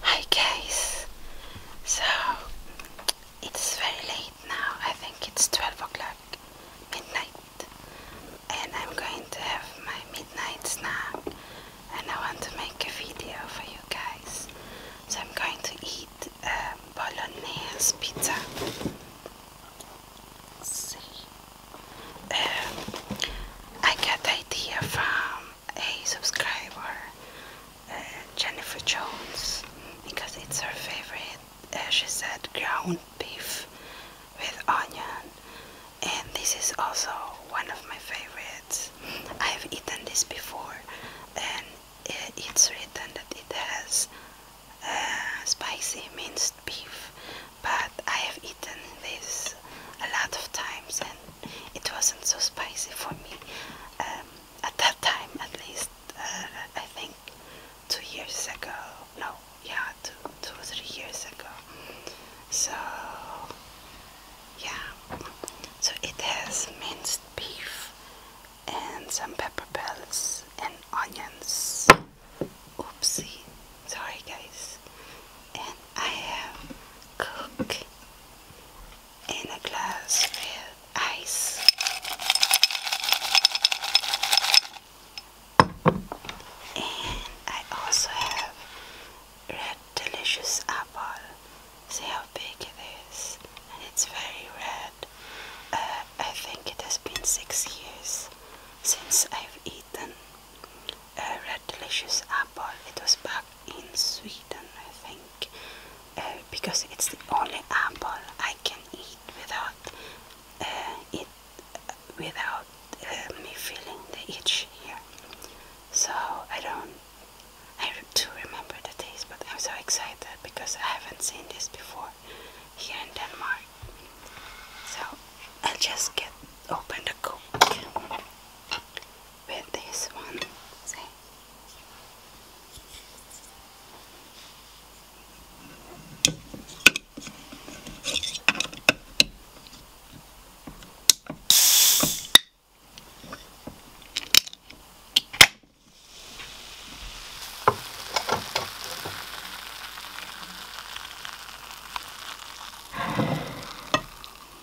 Hi guys! So it's very late now, I think it's 12 o'clock midnight and I'm going to have my midnight snack and I want to make a video for you guys. So I'm going to eat a um, bolognese pizza. see. Um, I got the idea from a subscriber, uh, Jennifer Jones, because it's her favorite. As uh, she said ground beef with onion, and this is also one of my favorites. I've eaten this before, and uh, it's written that it has spicy minced beef, but I have eaten this a lot of times and it wasn't so spicy for me um, at that time at least uh, I think two years ago no yeah two, two or three years ago so yeah so it has minced beef and some pepper bells and onions oopsie Sorry guys. And I have Coke in a glass with ice. And I also have a delicious apple. See how big it is. And it's very red. Uh, I think it has been six years since I've eaten a red delicious apple. It was back in Sweden, I think, uh, because it's the only apple I can eat without uh, it without uh, me feeling the itch here. So I don't. I do remember the taste, but I'm so excited because I haven't seen this before here in Denmark. So I'll just get open the cook with this one. See?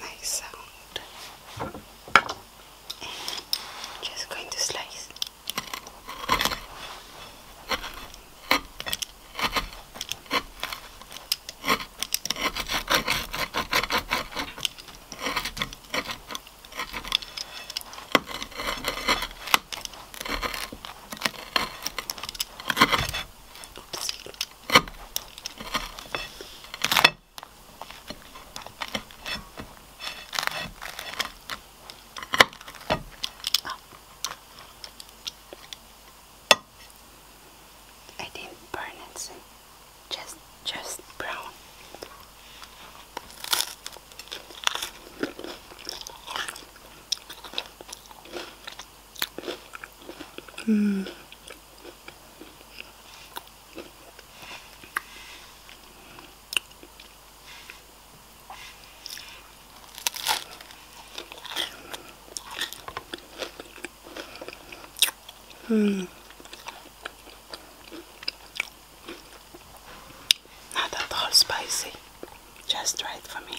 nice sound. And just going to slice. Oops. Oh. I didn't burn it, just just brown. Hmm. Mm. Not at all spicy, just right for me.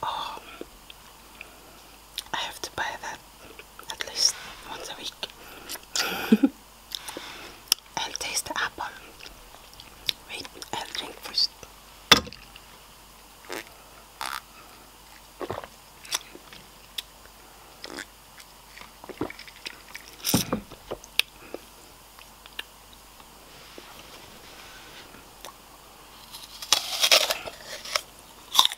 Oh, I have to buy that at least once a week. I'll taste the apple. Wait, I'll drink first.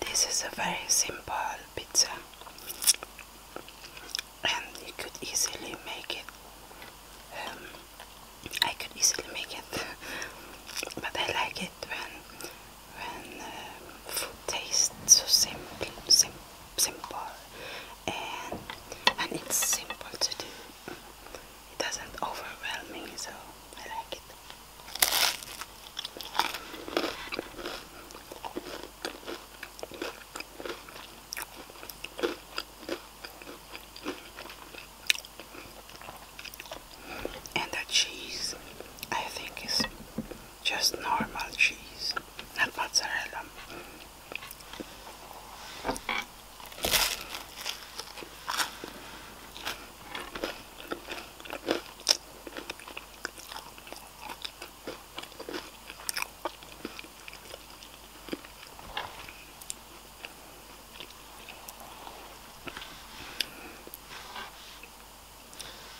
This is a very simple pizza, and you could easily make it. Um, I could easily make it, but I like it when when uh, food tastes so simple, sim simple, and and it's simple to do it doesn't overwhelm me, so I like it. And the cheese, I think, is just normal cheese, not mozzarella.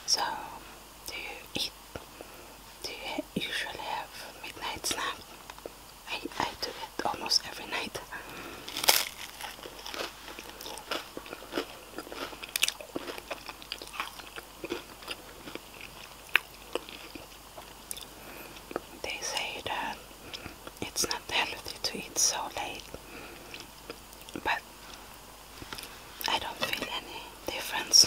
So, do you eat? Do you usually have midnight snack? I, I do it almost every night. They say that it's not healthy to eat so late, but I don't feel any difference.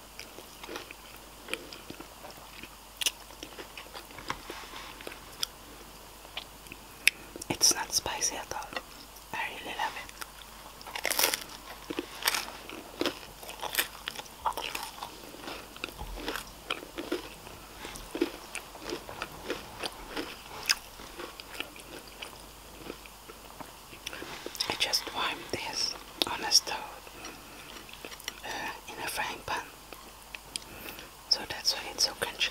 It's not spicy at all. I really love it. I just warmed this on a stove uh, in a frying pan. So that's why it's so crunchy.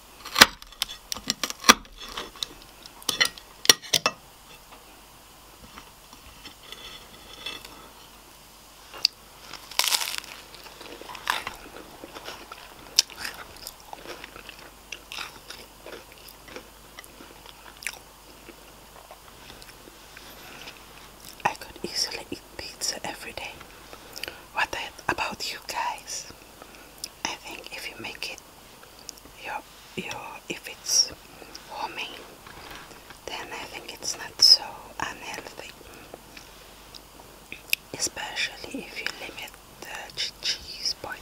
I could easily eat pizza every day. What about you guys? I think if you make it your, your, if it's warming, then I think it's not so unhealthy. Especially if you limit the cheese point.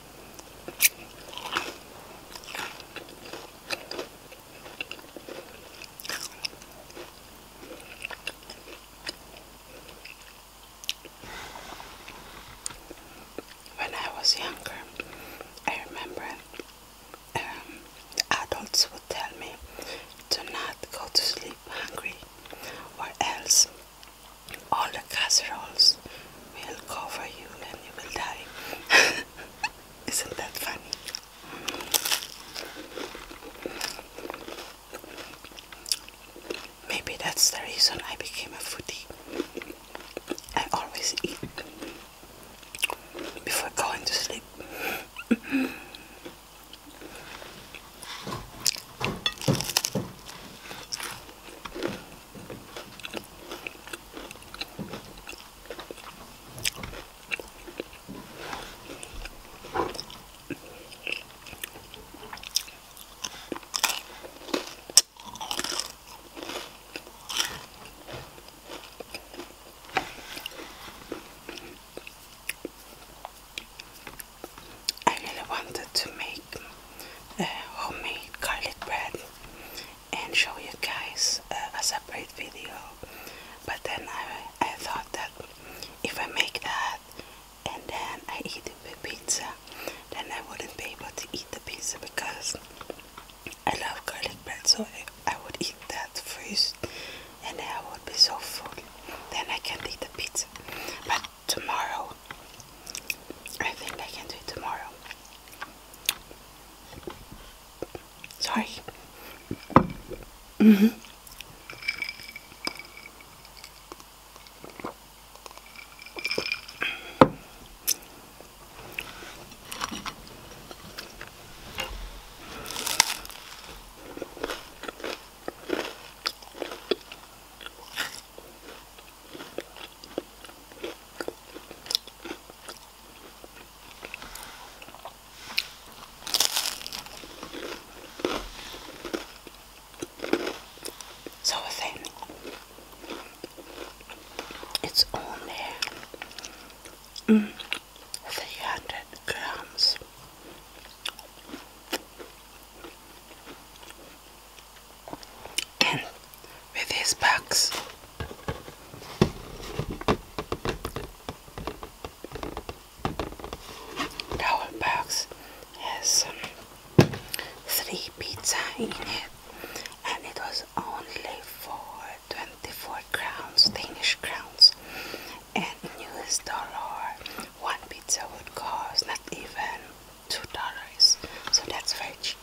When I was younger, I remember um, adults would tell me to not go to sleep hungry, or else all the casseroles will cover you and you will die. Isn't that funny? Maybe that's the reason I became a foodie. I always eat before going to sleep. I really wanted to make uh, homemade garlic bread and show you guys uh, a separate video. But then I, I thought that if I make that and then I eat it with pizza, then I wouldn't be able to eat the pizza because I love garlic bread. So I, would eat that first and then I would be so full. Then I can eat the pizza. But tomorrow I think I can do it tomorrow. Sorry. Mm -hmm. So I think it's only mm. 300 grams with his bags. Our box has three pizza in it and it was only for 24 crowns, Danish crowns and in US dollar one pizza would cost not even two dollars so that's very cheap.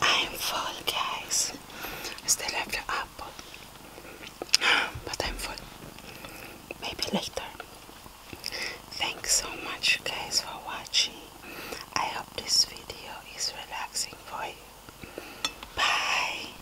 I'm full, guys. I still have the apple, but I'm full. Maybe later. Thanks so much, guys, for watching. I hope this video is relaxing for you. Bye.